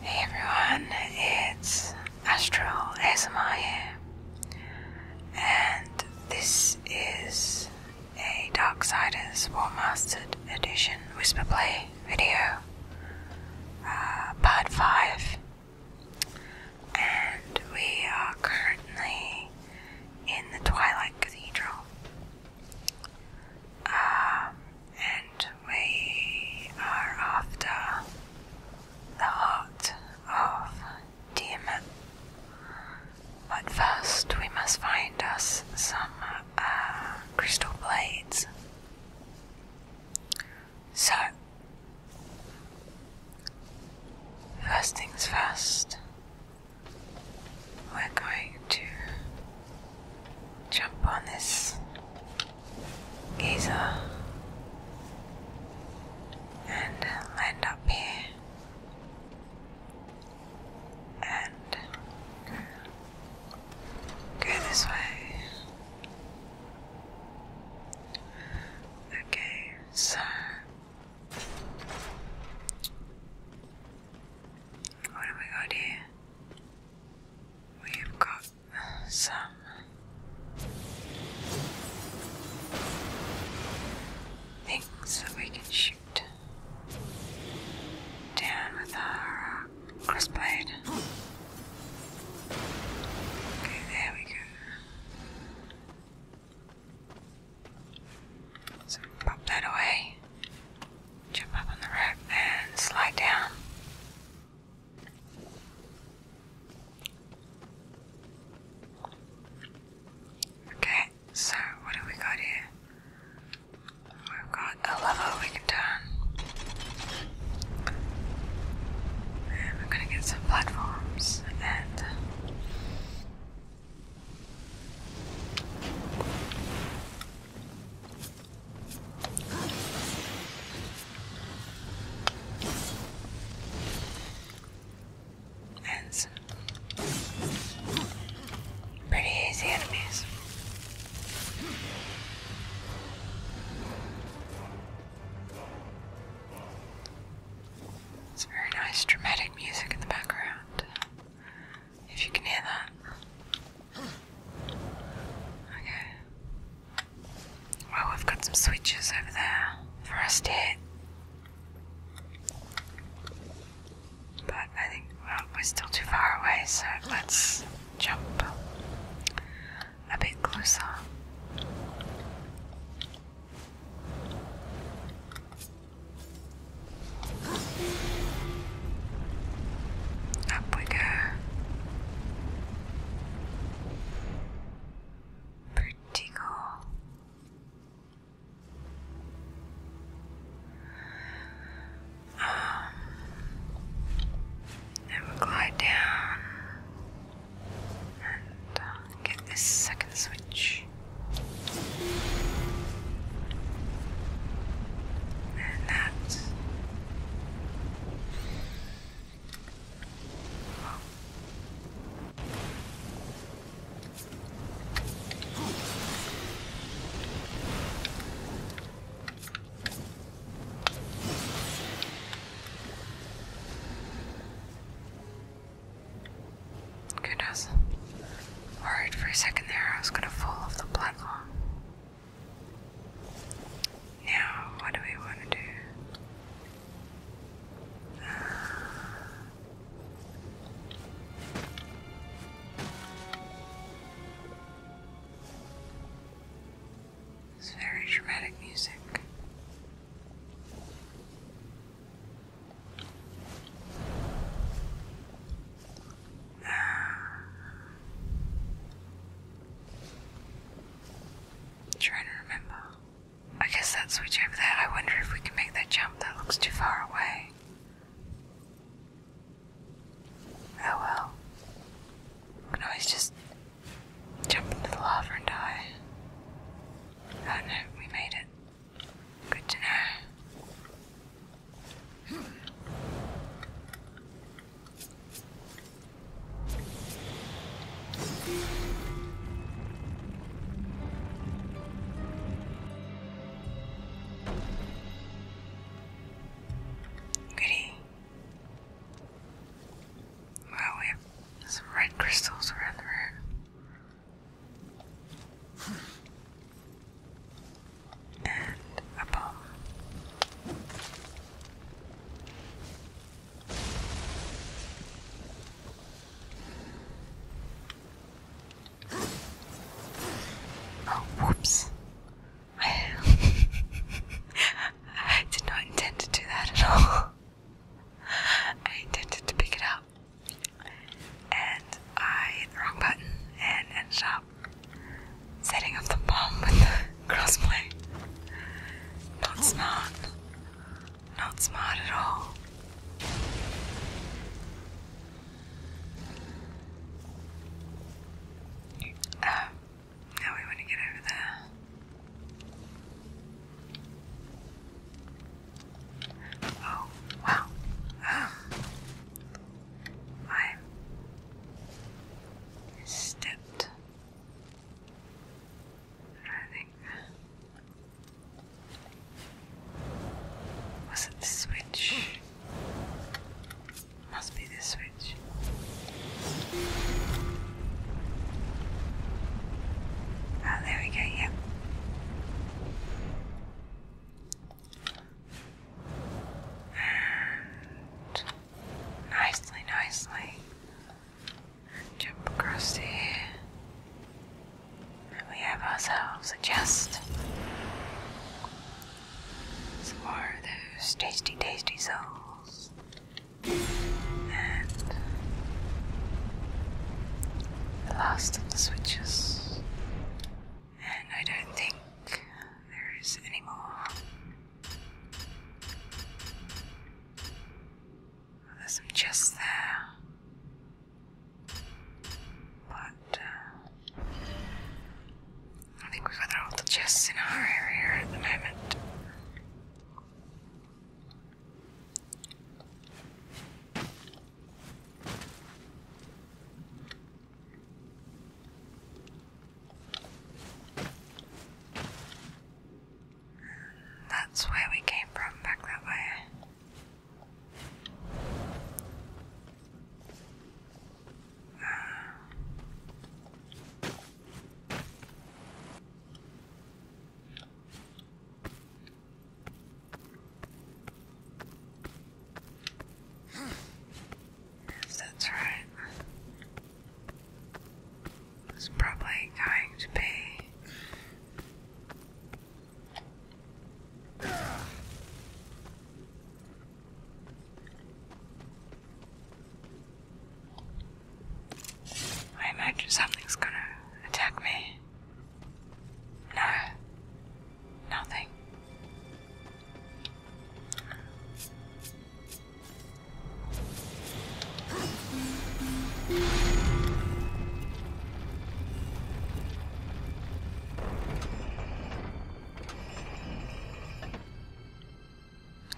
Hey everyone, it's Astral ASMR here, and this is a Darksiders War Mastered Edition Whisper Play video, uh, part 5, and we are currently in the Twilight Cathedral. Um, and we are after the heart of Tiamat. But first, we must find us some uh, crystal blades. So, first things first, we're going to jump on this geyser and land up here and Go this way. Okay, so what have we got here? We've got some. Things that we can shoot down with our Crossblade. Okay, there we go. So pop that away. Jump up on the rope and slide down. Okay, so what have we got here? We've got a level we can turn. And we're gonna get some platforms and and Pretty easy enemies. It's very nice dramatic music in the background. If you can hear that. Okay. Well, we've got some switches over there for us to hit. But I think, we're still too far away, so let's jump a bit closer. Up we go. Pretty cool. And we'll glide down and um, get this second switch. And that. Goodness. Alright, for a second there, I was gonna fall off the platform. Now, what do we want to do? It's very dramatic music. trying to remember. I guess that switch over there. I wonder if we can make that jump. That looks too far away. Oh well. can always just jump into the lava and die. Oh no, we made it. Good to know. Goody. Wow, we have some red crystals around the room. And a bomb. Oh, whoops. I, did not intend to do that at all. I intended to pick it up, and I the wrong button and ended up setting off the bomb with the crossplay. Not smart. Not smart at all. Oh, now we want to get over there. Oh, wow. Oh. I stepped. I think. Was it the switch? Must be this switch. Ah, there we go, yeah. And nicely, nicely. jump across here. And we have ourselves a chest some those tasty, tasty souls. And the last of the switches. And I don't think there is any more. There's some chests there. But uh, I think we've got all the chests in our area at the moment. That's where we came from, back that way. Yes, that's right. It's probably going to be I imagine something's gonna attack me. No, nothing.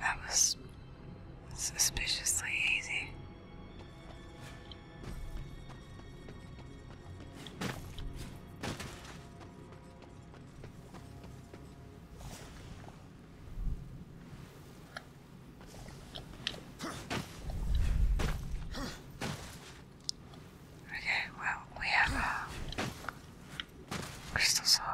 That was suspiciously easy. Okay, well, we have uh, crystal solid.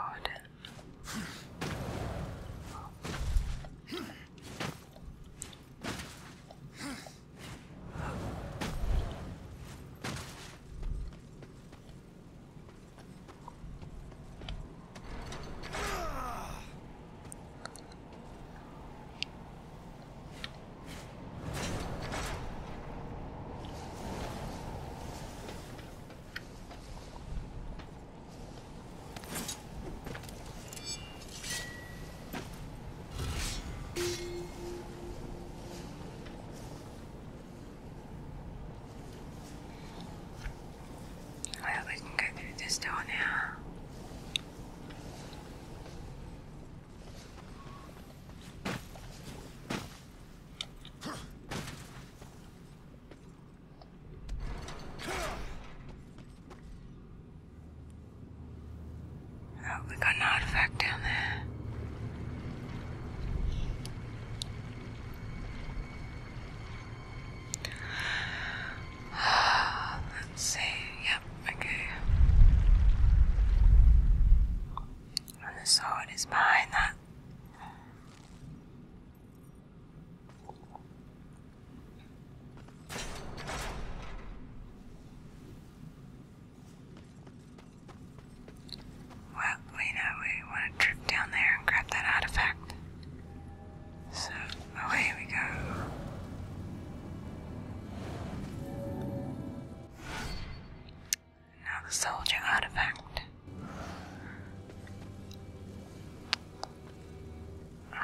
Well, we can get through this door now. Oh, we got an down there. Let's see. Yep, okay. And the sword is behind that well, we know we want to drift down there and grab that artifact. So away we go. Now the soldier artifact. Uh,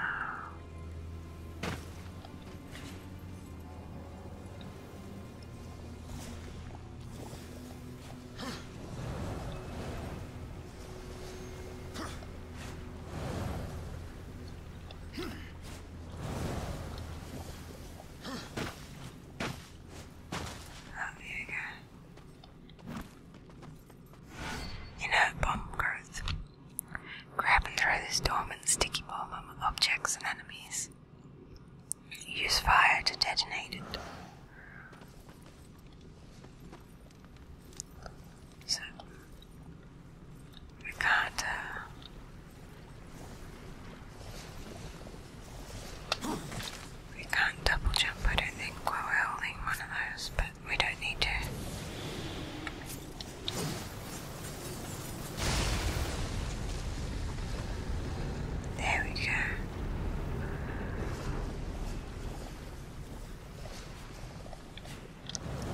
there you go. Inert bomb growth. Grab and throw this dormant sticky bomb on objects and enemies. Use fire to detonate it. So, I can't. Uh, we can't double jump, I don't think, we're holding one of those, but we don't need to. There we go.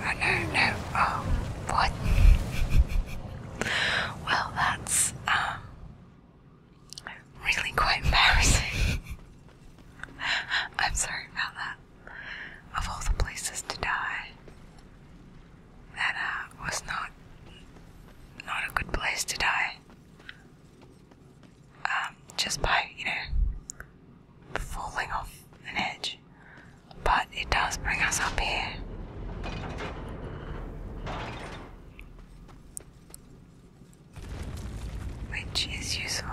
Oh no, no, oh, what? well, that's, um, really quite embarrassing. I'm sorry about that. Of all the places to die, that uh, was not not a good place to die. Um, just by you know falling off an edge, but it does bring us up here which is useful.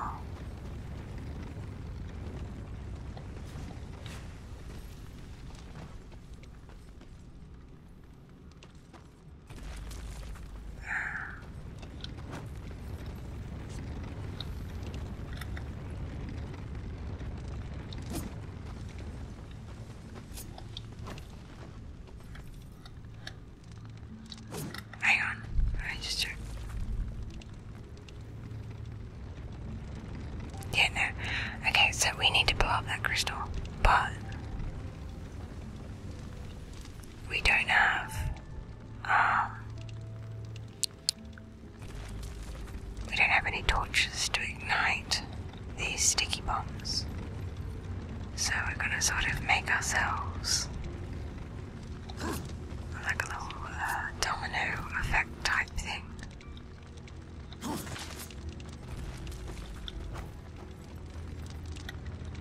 Hang on, I Yeah, no. Okay, so we need to blow up that crystal, but we don't have. Um, we don't have any torches to ignite these sticky bombs. So we're gonna sort of make ourselves like a little uh, domino effect type thing.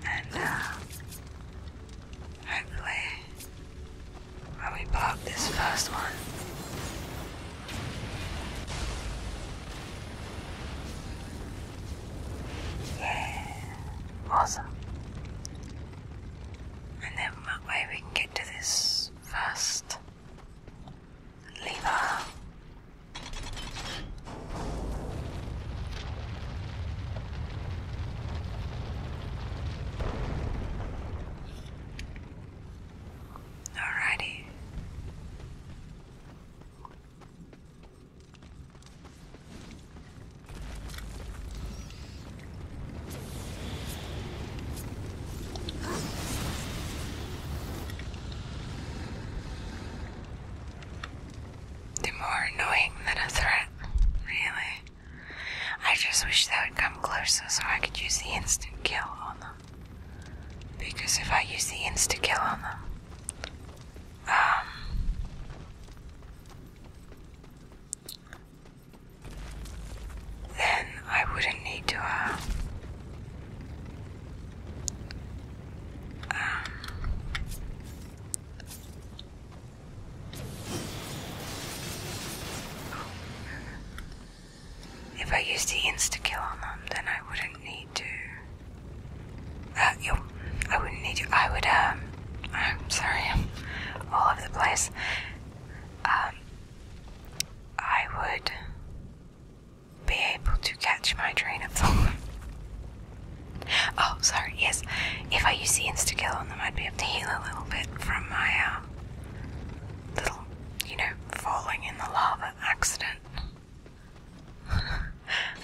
And uh, hopefully, when we block this first one, yeah, awesome. And then that way we can get to this first lever. Alrighty. The more annoying than a threat, really. I just wish they would come closer so I could use the instant kill on them. Because if I use the instant kill on them, um, then I wouldn't need to uh, um, if I use the insta kill on them, then I wouldn't need need to. Uh, I wouldn't need you. I would. Um, I'm sorry. all over the place. Um, I would be able to catch my train of thought. oh, sorry. Yes, if I use the insta on them, I'd be able to heal a little bit from my um, little, you know, falling in the lava accident.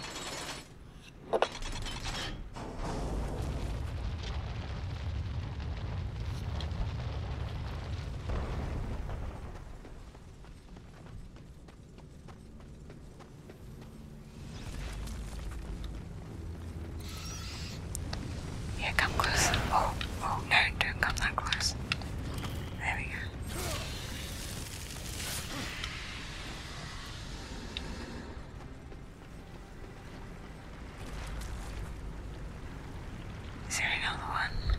Yeah, come close. Oh, oh, no, don't come that close. There we go. Is there another one?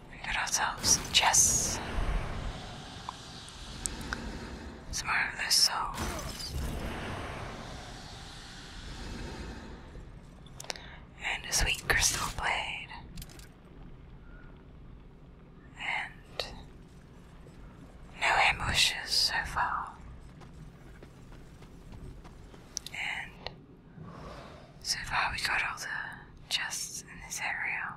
We got ourselves chess. Some And a sweet crystal blade. And no ambushes so far. And so far we got all the chests in this area.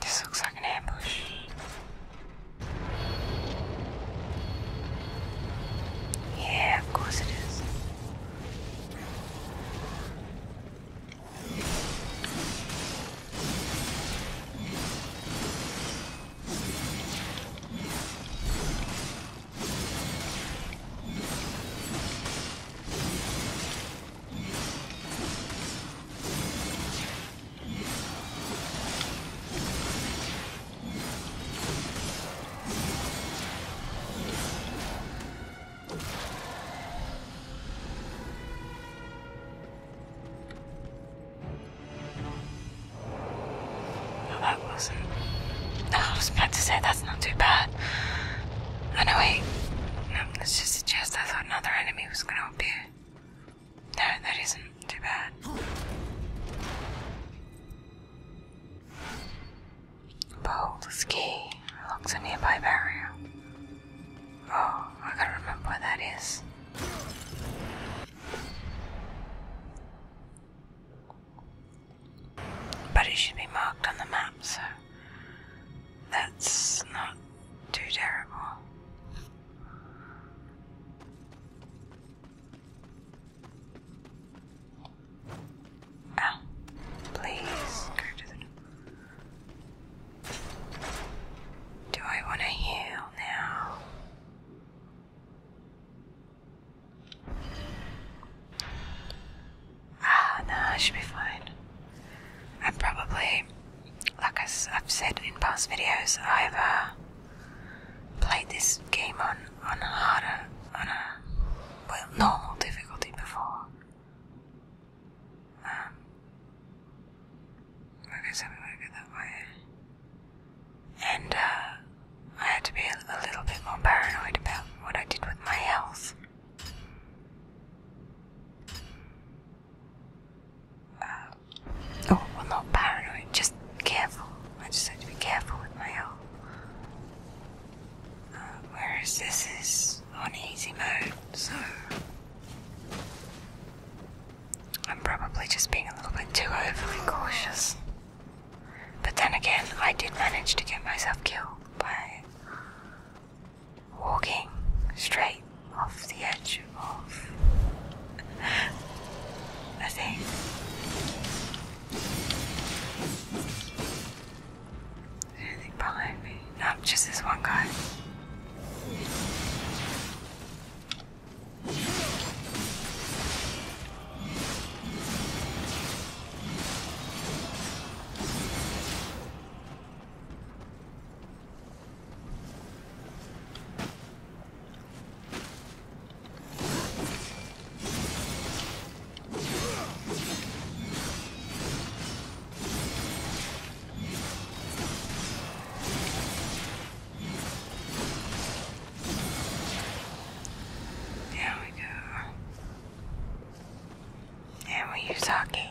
This looks like an ambush. Yeah, of course it is that wasn't. I was about to say that's not too bad. Anyway, no, wait. let's just suggest I thought another enemy was gonna appear. No, that isn't too bad. Boulder's key unlocks a nearby barrier. Oh, I gotta remember where that is. But it should be marked on the map, so that's not too terrible. Ow. Oh, please Do I want to heal now? Ah, no, I should be fine. I'm probably, like I've said in past videos, I've uh, played this game on on harder on a well normal difficulty before. Um, okay, so we will that way. And uh, I had to be a, little bit more paranoid about what I did with my health. Uh, out. Oh, well, not paranoid, just careful. I just have to be careful with my health. Uh, Where is this is on easy mode, so I'm probably just being a little bit too overly cautious. But then again, I did manage to get myself killed by walking straight off the edge much of Anything behind me? No, just this one guy. There we go. And we use hockey.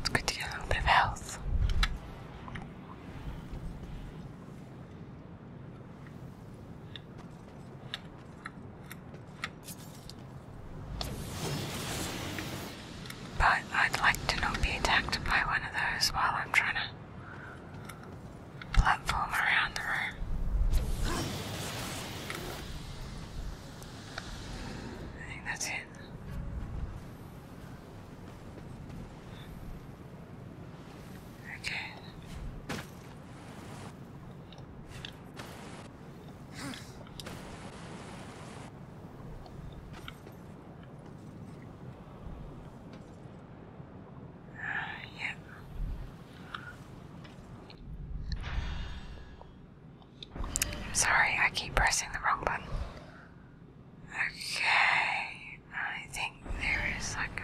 It's good to get a bit of health. But I'd like to not be attacked by one of those while I'm trying to platform around the room. I think that's it. Okay yeah. Sorry, I keep pressing the wrong button. Okay, I think there is like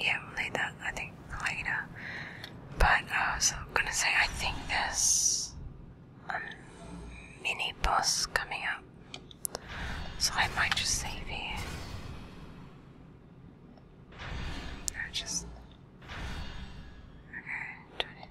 yeah, later, I think later. But I was gonna say, I think there's a mini boss coming up. So I might just save here. No, just okay. Do it.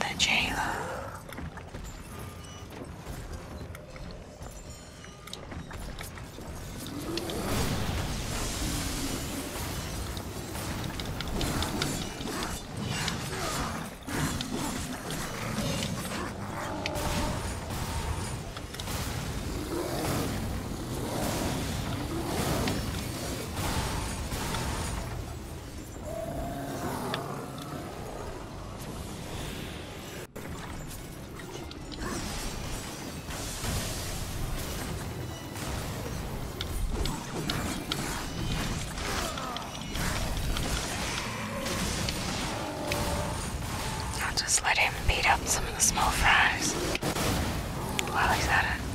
The jailer. I'll just let him beat up some of the small fries while he's at it.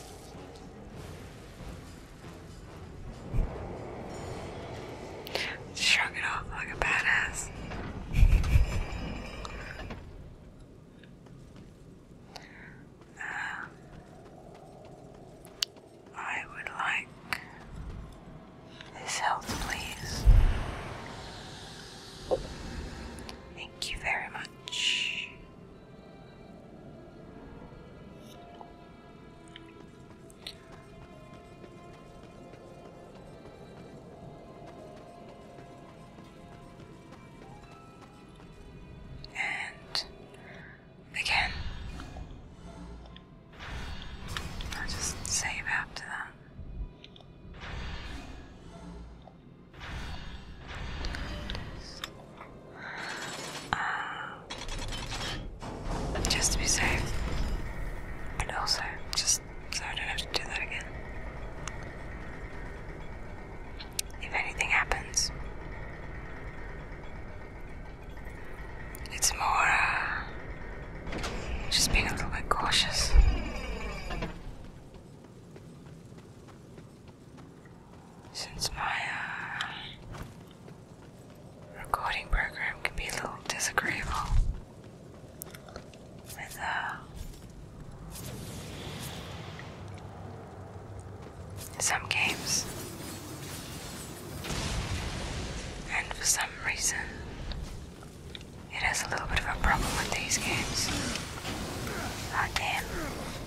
Shrug it off like a badass. Um, I would like his health, please. Thank you very much. And again, I'll just save after that. Um, just to be safe. And also, just so I don't have to do that again. If anything happens, it's more uh, just being a little bit cautious. Since my uh, recording program can be a little disagreeable with uh, some games, and for some reason, it has a little bit of a problem with these games. Ah, damn.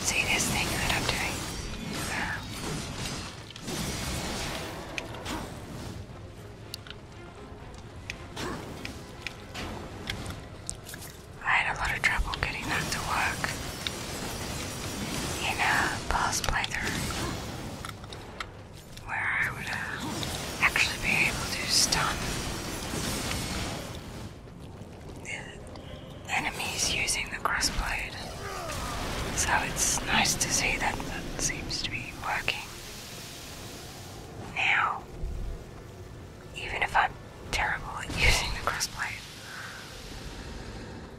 See this thing that I'm doing? Yeah. I had a lot of trouble getting that to work in a past playthrough where I would uh, actually be able to stun the enemies using the crossblade. So it's nice to see that that seems to be working now, even if I'm terrible at using the crossblade.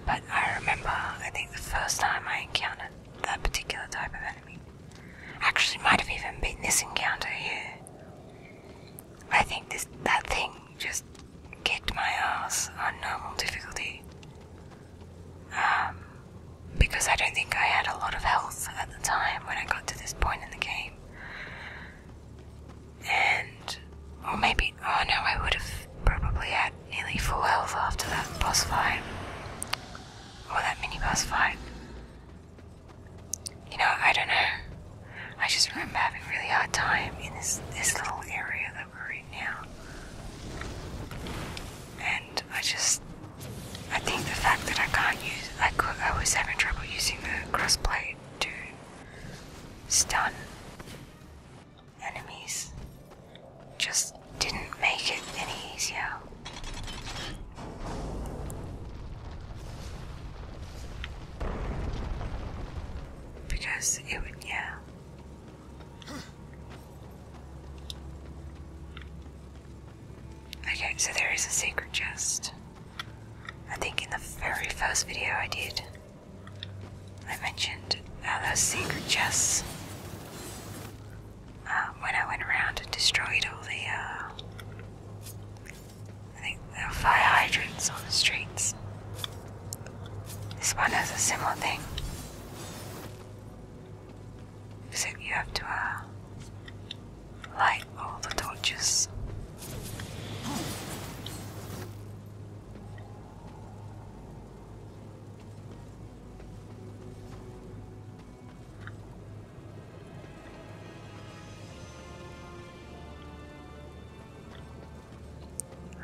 But I remember, I think the first time I encountered that particular type of enemy, actually might have even been this encounter here. I think this that thing just kicked my ass on normal difficulty. Um, because I don't think I had a lot of health at the time when I got to this point in the game. And, or maybe, oh no, I would have probably had nearly full health after that boss fight. Or that mini boss fight. You know, I don't know. I just remember having a really hard time in this, this little area that we're in now. And I just I think the fact that I can't use, I, could, I was having trouble using the crossblade to stun enemies just didn't make it any easier. Because it would, yeah. Okay, so there is a secret chest. I think in the very first video I did, I mentioned how uh, those secret chests, uh, when I went around and destroyed all the, uh, fire hydrants on the streets. This one has a similar thing so you have to uh, light all the torches.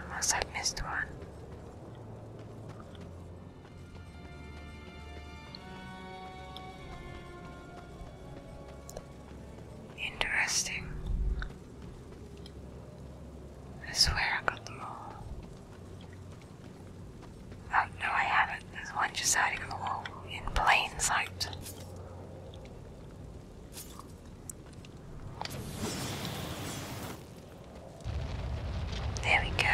Unless I've missed one. Interesting. I swear I got them all. Oh, no, I haven't. There's one just hiding on the wall in plain sight. There we go.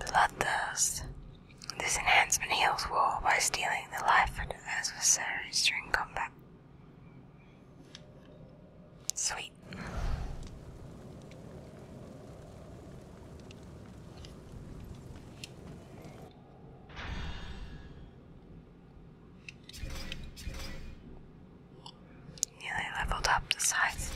Bloodthirst. This enhancement heals war by stealing the life of adversaries during combat. Sweet. Nearly leveled up the size.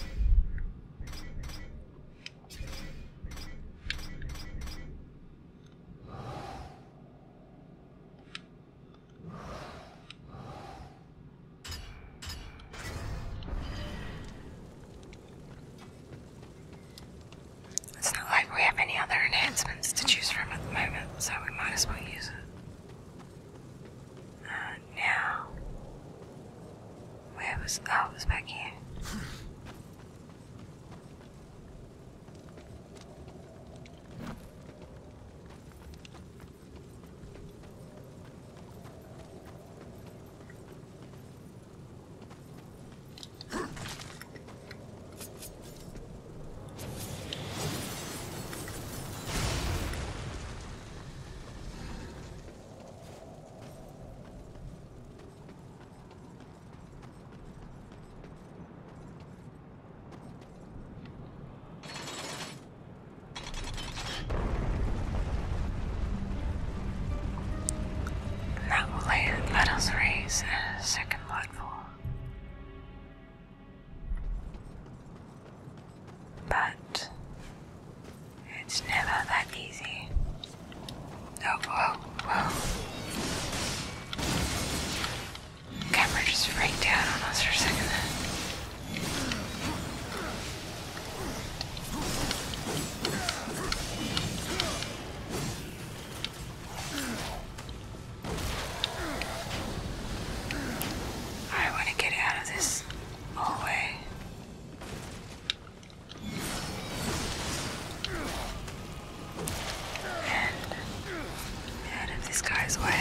It's not like we have any other enhancements to choose from at the moment, so we might as well use it. Uh, now, where was oh, was back here. Now, let us raise a second. But it's never that easy. Oh, whoa, whoa. Camera just freaked down on us for a second I want to get out of this hallway. And out of this guy's way.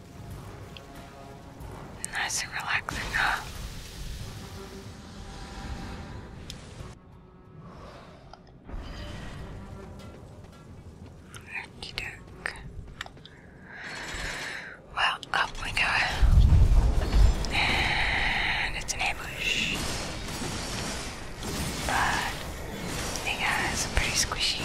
Nice and relaxing, huh? Okey-doke. Well, up we go. And it's an ambush. But the guys are pretty squishy.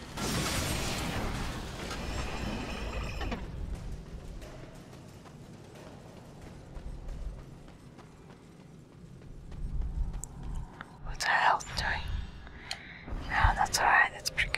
What's our health doing? No, that's alright, that's pretty good.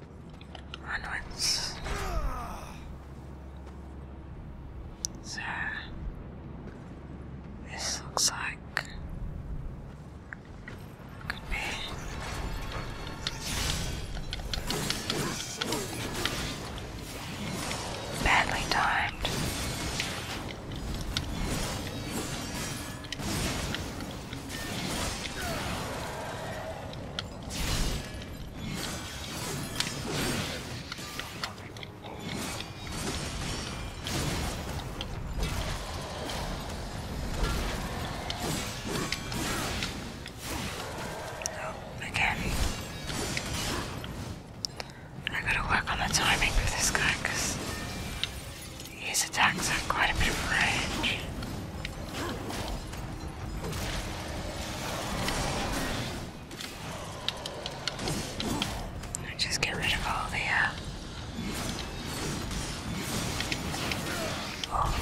onwards. So, this looks like could be. Badly timed. Oh, again, I gotta work on the timing with this guy because his attacks have quite a bit of range just get rid of all the uh, oh.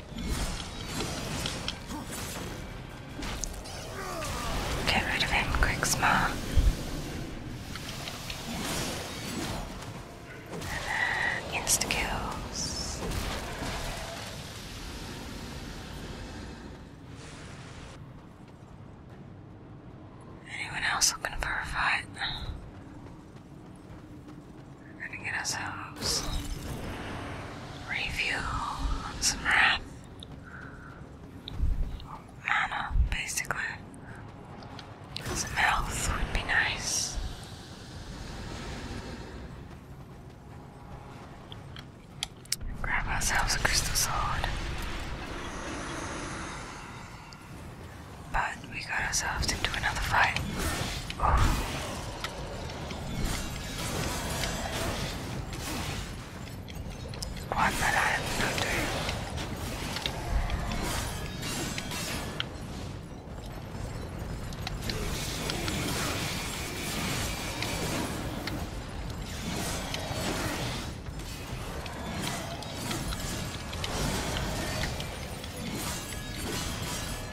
Get rid of him quick, smart. And then insta kills. Anyone else looking for a fight? We're gonna get ourselves refuel some wrath. Mana, basically. Some health would be nice. Grab ourselves a crystal sword but we got ourselves into another fight. Oof. One I have no do.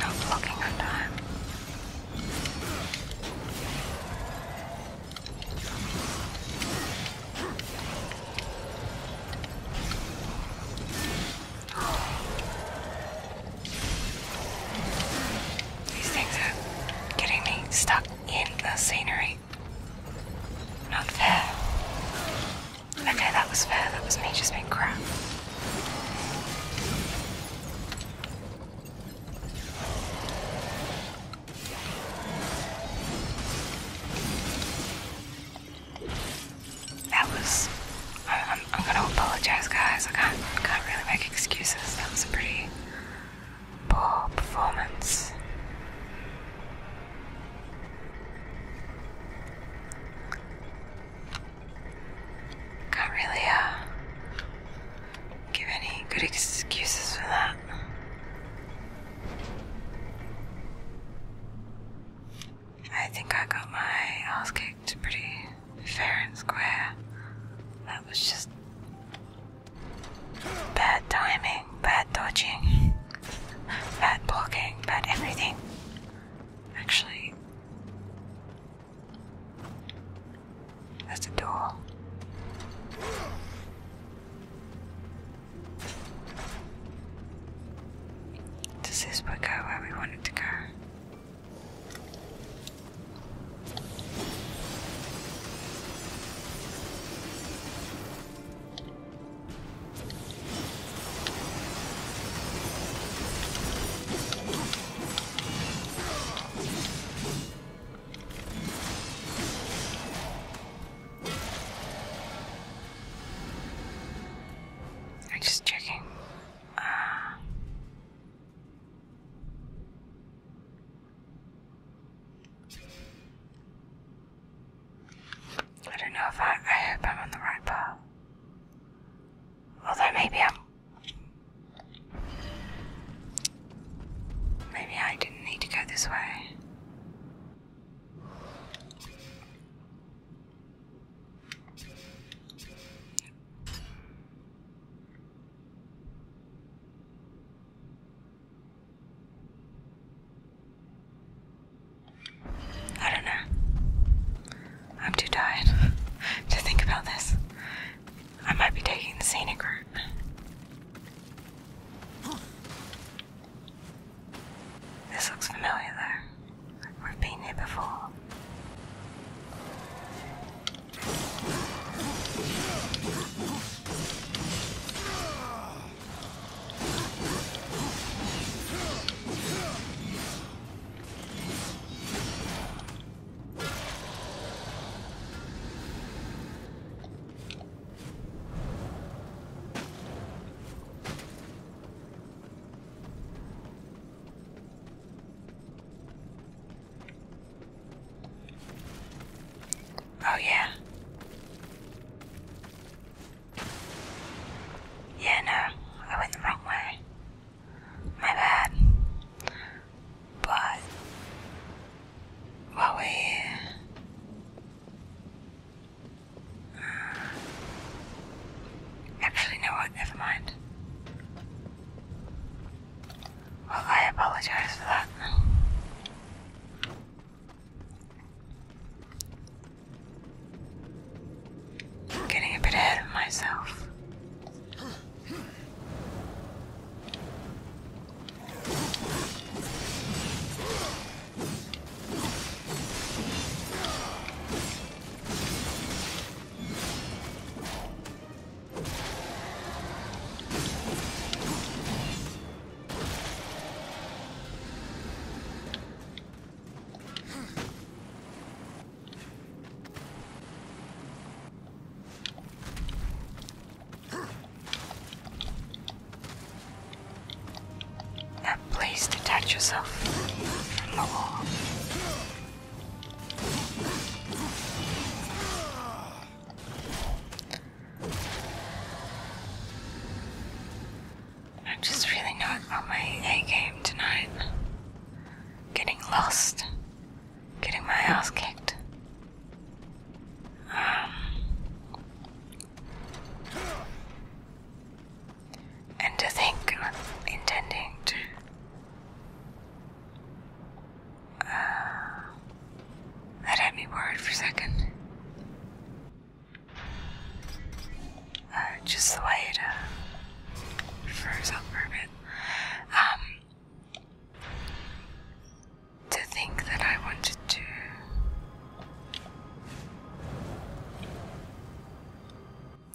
No blocking on time. These things are getting me stuck in the scenery. Not fair. Okay, that was fair. That was me just being crap. That was. I'm, gonna apologize, guys. I can't really make excuses. That was a pretty poor performance. Can't really uh, give any good excuses for that. I think I got my ass kicked pretty fair and square. That was just bad timing, bad dodging, bad blocking, bad everything. Actually, that's a door. Does this one go where we want to go? I'm just checking. Uh, I don't know if I, I hope I'm on the right path. Although maybe I'm. Maybe I didn't need to go this way. I don't know. I'm too tired to think about this. I might be taking the scenic route. This looks familiar though. We've been here before. Oh, yeah. Yeah, no, I went the wrong way my bad. But what we uh, actually no what never mind. Well I apologize for that getting a bit ahead of myself. Uh, please detach yourself from the wall. I'm just really not on my A game tonight getting lost, getting my ass kicked. Um, and to think I'm intending to uh, me worried for a second. Uh, just the way to froze up for to think that I wanted to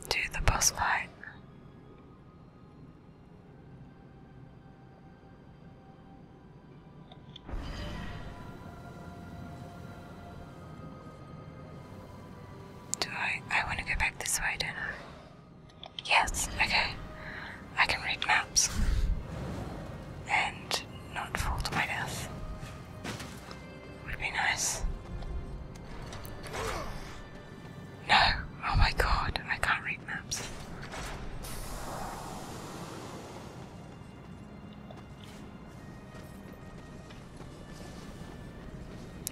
do the boss fight. Do I? I want to go back this way, don't I? Yes, okay. I can read maps. And not fall to my death. Would be nice. No! Oh my god, I can't read maps.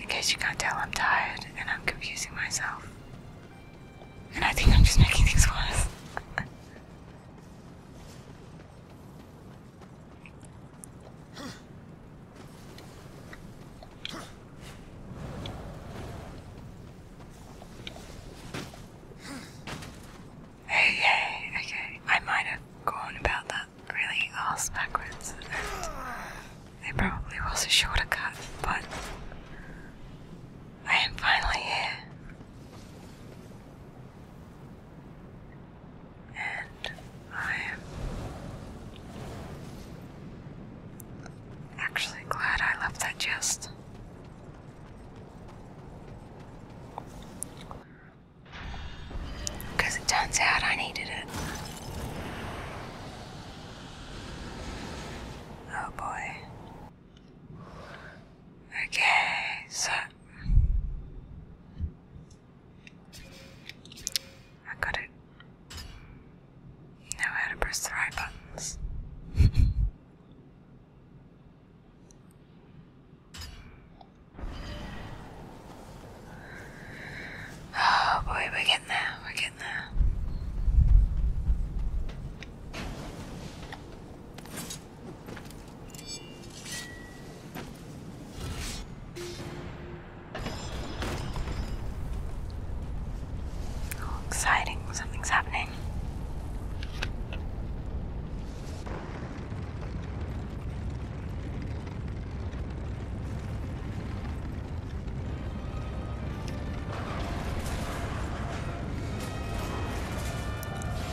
In case you can't tell, I'm tired and I'm confusing myself. And I think I'm just making things worse. hey, okay. I might have gone about that really ass backwards, and there probably was a shorter cut, but I am finally here. And I am actually glad I left that chest. Because it turns out I needed it. Oh boy. Okay, so I got it. Know how to press the right buttons. Oh boy, we're getting there, we're getting there. Oh, exciting, something's happening.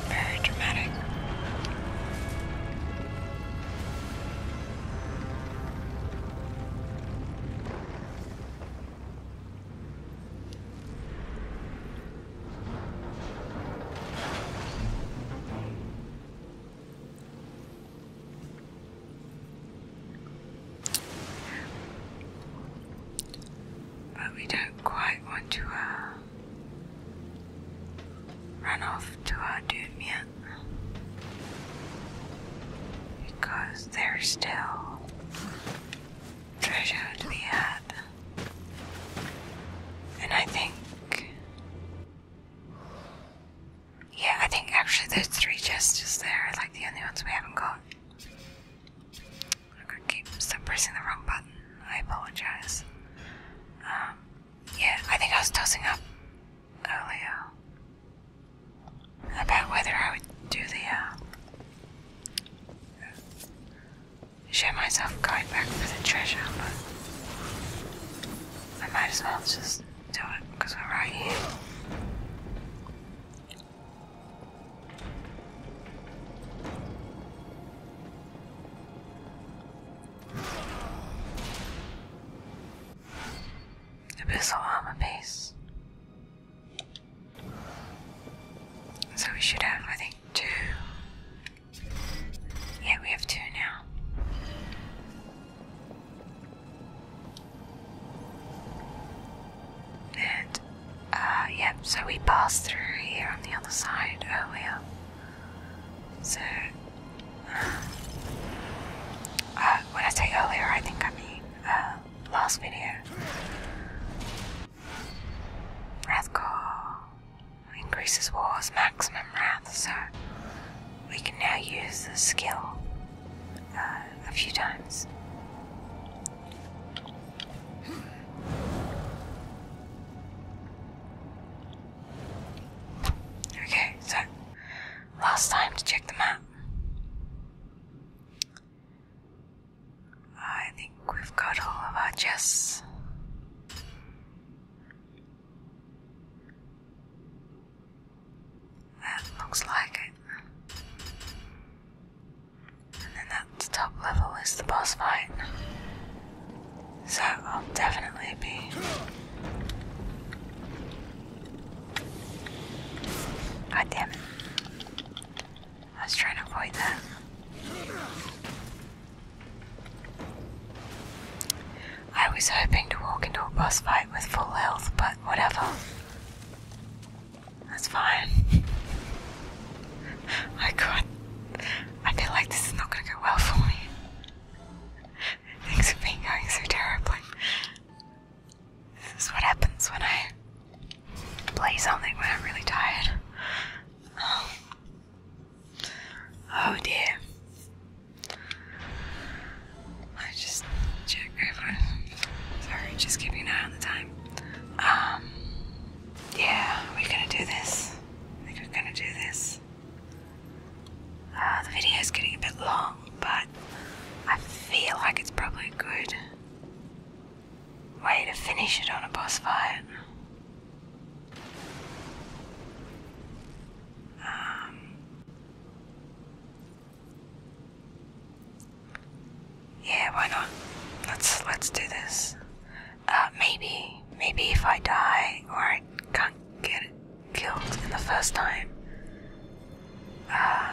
Very dramatic. But we don't quite want to uh, run off to our doom yet. Because there's still treasure to be had. And I think yeah, I think actually those three chests just there, like the only ones we haven't got. I could keep pressing the wrong button. I apologize. Um, yeah, I think I was tossing up earlier about whether I would do the uh, show myself going back for the treasure, but I might as well just do because we're right here. armor piece. So we should have, I think, two. Yeah, we have two now. And, uh, yep, so we passed through here on the other side earlier. So, uh, when I say earlier, I think I mean, uh, last video. Wrath Core increases war's maximum wrath, so we can now use the skill uh, a few times. Okay, so last time to check the map. I think we've got all of our chests. That looks like it. And then at top level is the boss fight. So I'll definitely be God damn it. I was trying to avoid that. I was hoping to walk into a boss fight with full health, but whatever. That's fine. oh god, I feel like this is not going to go well for me. Things have been going so terribly. This is what happens when I play something when I'm really tired. oh, oh dear. I just check everyone. Sorry, just keeping an eye on the time. Um, yeah, we're gonna do this. we're gonna do this. the video is getting a bit long, but I feel like it's probably a good way to finish it on a boss fight. Um, yeah, why not? Let's let's do this. Uh, maybe maybe if I die or I can't get killed in the first time, uh,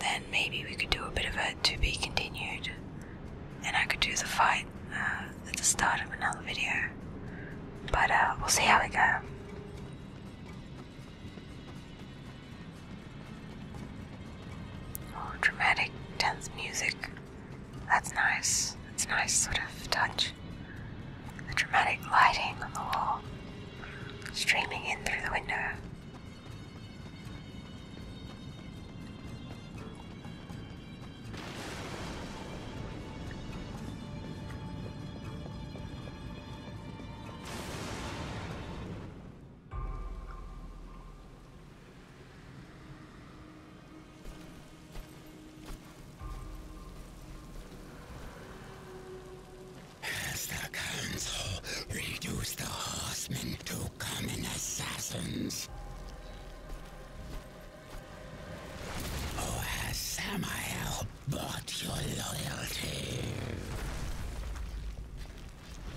then maybe we could do a bit of a to be continued, and I could do the fight uh, at the start of another video. But uh, we'll see how we go. Oh, dramatic, tense music. That's nice. That's a nice sort of touch. The dramatic lighting on the wall, streaming in through the window reduce the horsemen to common assassins. Where Samael bought your loyalty.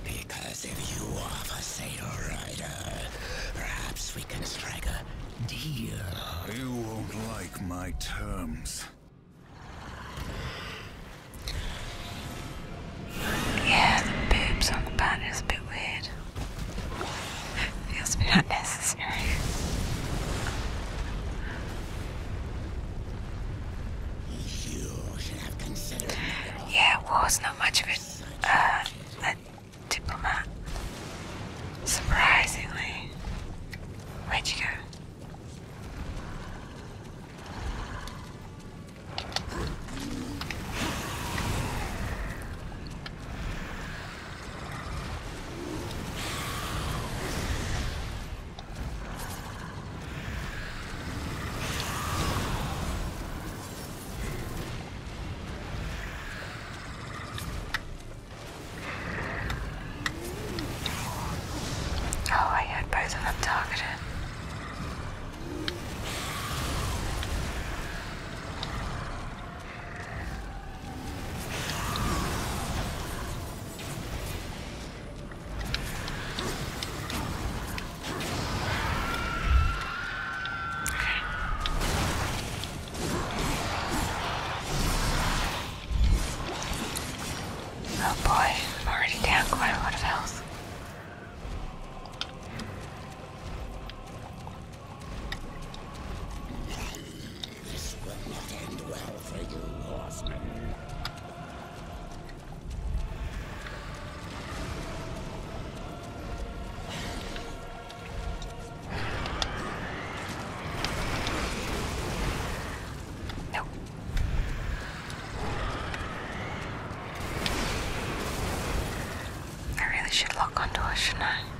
Because if you are the Sailor Rider, perhaps we can strike a deal. You won't like my terms. Yeah, the boobs on the band is a bit weird. Feels a bit unnecessary necessary. Yeah, war's not much of a, uh, a diplomat. Surprisingly. Where'd you go? Oh, I had both of them targeted. Oh boy, I'm already down quite a lot of health. This will not end well for you, Horseman. No. I really should lock onto her, shouldn't I?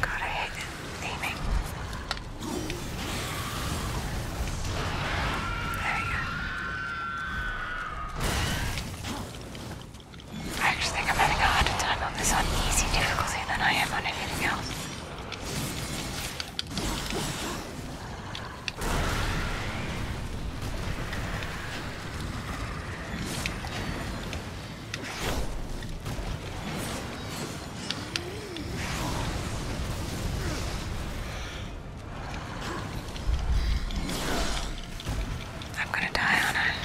God, I hate it. There you go. I actually think I'm having a harder time on this uneasy difficulty than I am on anything else. I'm gonna die on it.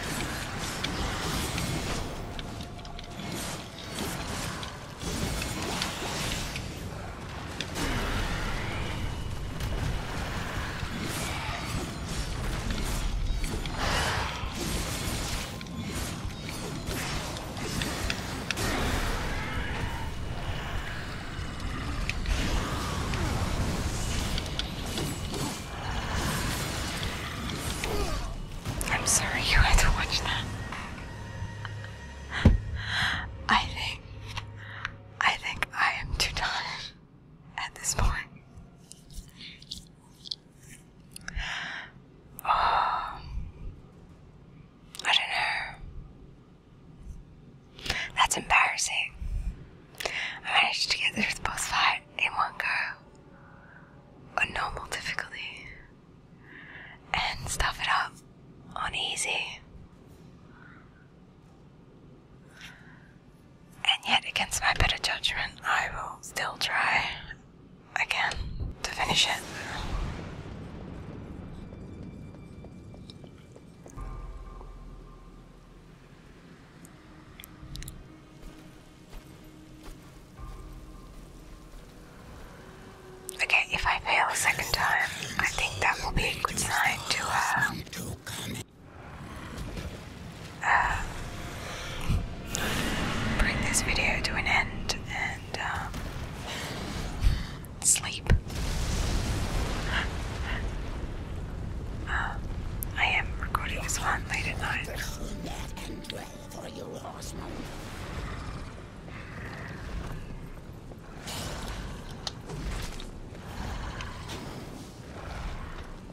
I'm sorry you had to watch that. I think I think I am too tired at this point. Um, I don't know. That's embarrassing. I managed to get through the boss fight in one go on normal difficulty and stuff it up on easy. And yet, against my better judgment, I will still try again to finish it. Okay, if I fail a second time, I think that will be a good sign to uh, uh, bring this video to an end and um, sleep. Uh, I am recording this one late at night.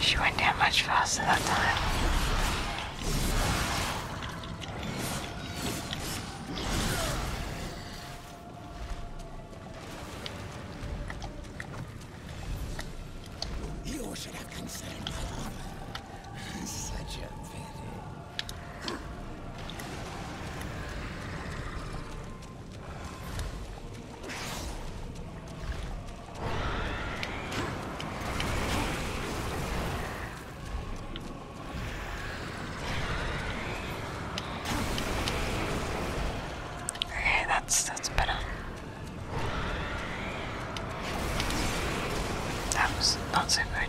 She went down much faster that time. You should have considered my Such a pity. Okay, that's that's better. That was not so good.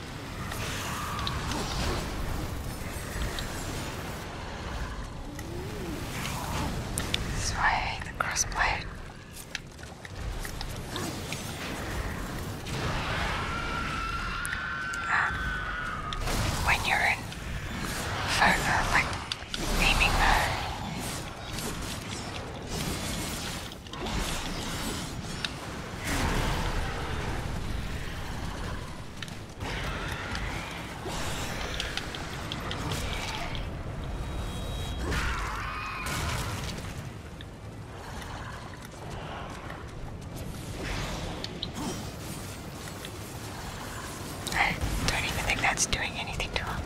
That's why I hate the crossplay. Um, when you're in focus, like aiming mode, I don't even think that's doing anything to him.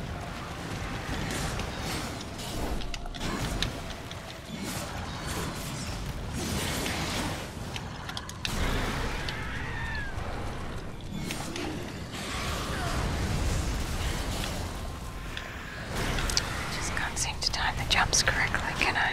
Just can't seem to time the jumps correctly, can I?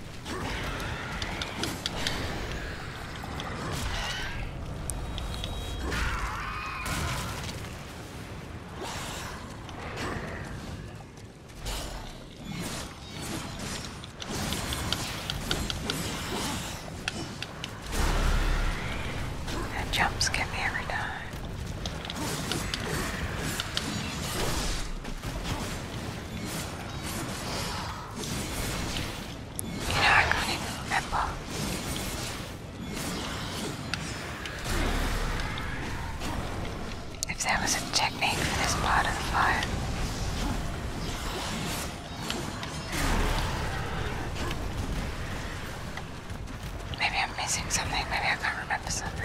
That jumps get me every time. If there was a technique for this part of the fire. Maybe I'm missing something, maybe I can't remember something.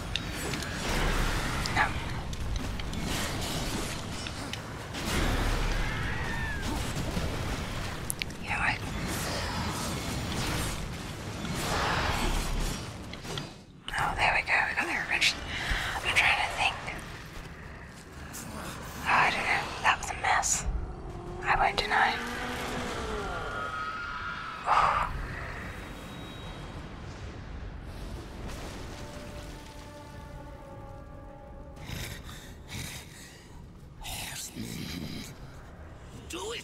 No. Oh, there we go. We got there eventually. I'm trying to think. Oh, I don't know. That was a mess. I won't deny. Do it!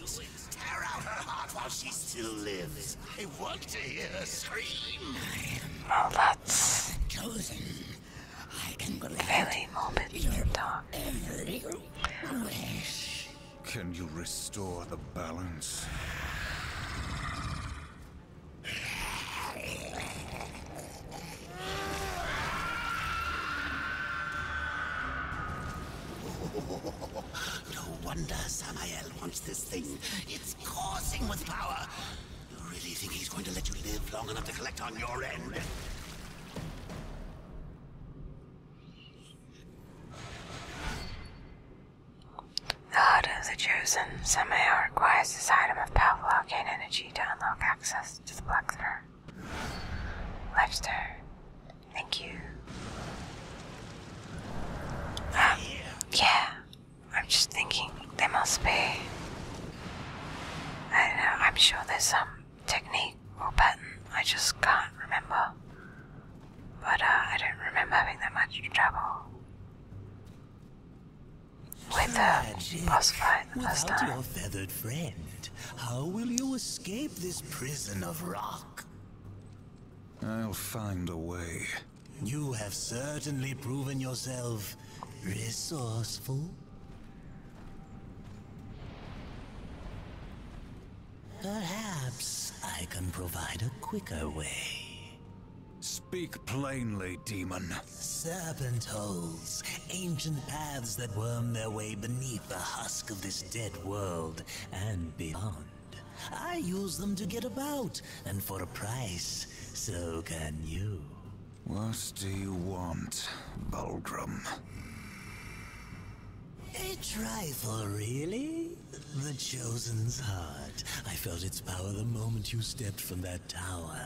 Tear out her heart while she still lives. I want to hear her scream. that's chosen. I can believe moment you talk. Every wish. Can you restore the balance. no wonder Samuel wants this thing. It's coursing with power. You really think he's going to let you live long enough to collect on your end? The Heart of the Chosen somehow requires this item of powerful gain energy to unlock access to the Blackthorn. Lifestar, thank you. Um, yeah, I'm just thinking there must be. I know, I'm sure there's some technique or pattern, I just can't remember but uh, I don't remember having that much trouble with the boss fight the first time. your feathered friend, how will you escape this prison of rock? I'll find a way. You have certainly proven yourself resourceful. Perhaps I can provide a quicker way. Speak plainly, demon. Serpent holes, ancient paths that worm their way beneath the husk of this dead world and beyond. I use them to get about, and for a price, so can you. What do you want, Baldrum? A trifle, really? The Chosen's heart. I felt its power the moment you stepped from that tower.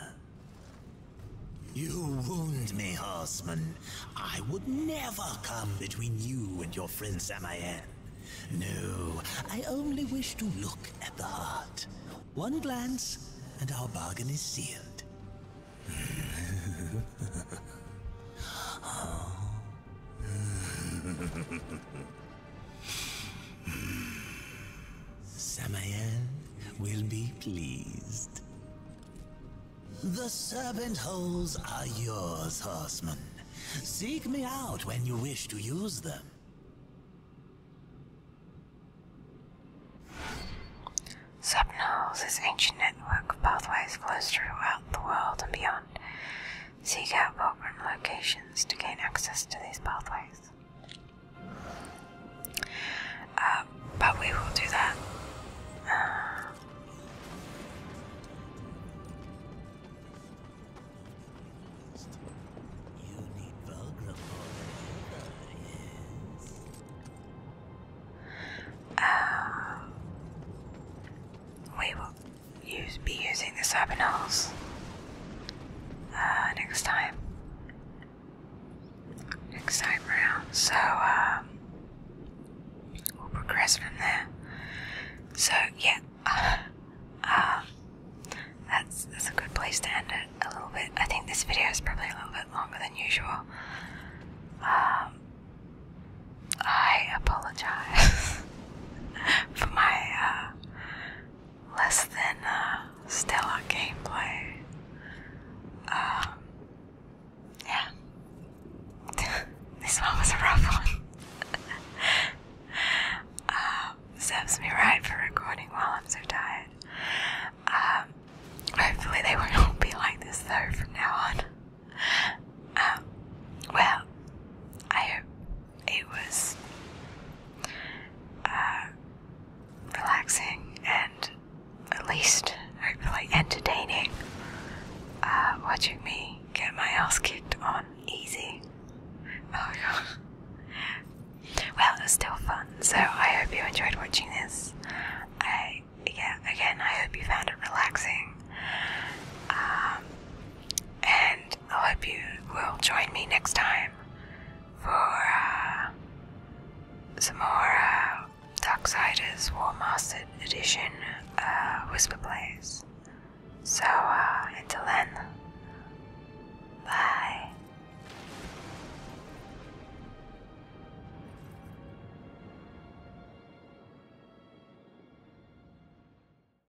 You wound me, horseman. I would never come between you and your friend Samayan. No, I only wish to look at the heart. One glance, and our bargain is sealed. Samael will be pleased. The serpent holes are yours, horseman. Seek me out when you wish to use them. Subnose is ancient network of pathways flows throughout the world and beyond. Seek out program locations to gain access to these pathways. Uh, but we will do that. Uh, we will use, be using the Sabinals uh, next time. Next time around. So, um, we'll progress from there. So, yeah. Um, that's, that's a good place to end it a little bit. I think this video is probably a little bit longer than usual. Um, I apologize for my uh, less than uh, stellar gameplay. Um, yeah. this one was a rough one. Um, serves me right for recording while I'm so tired. Um, hopefully they won't be like this though from now on. well, I hope it was uh, relaxing and at least I hopefully entertaining uh, watching me get my ass kicked on easy. Oh god. Well, it's still fun, so I hope you enjoyed watching this. I yeah, again, I hope you found it relaxing. Um, and I hope you will join me next time for uh, some more uh, War Mastered Edition uh, Whisper Plays. So uh, until then, bye.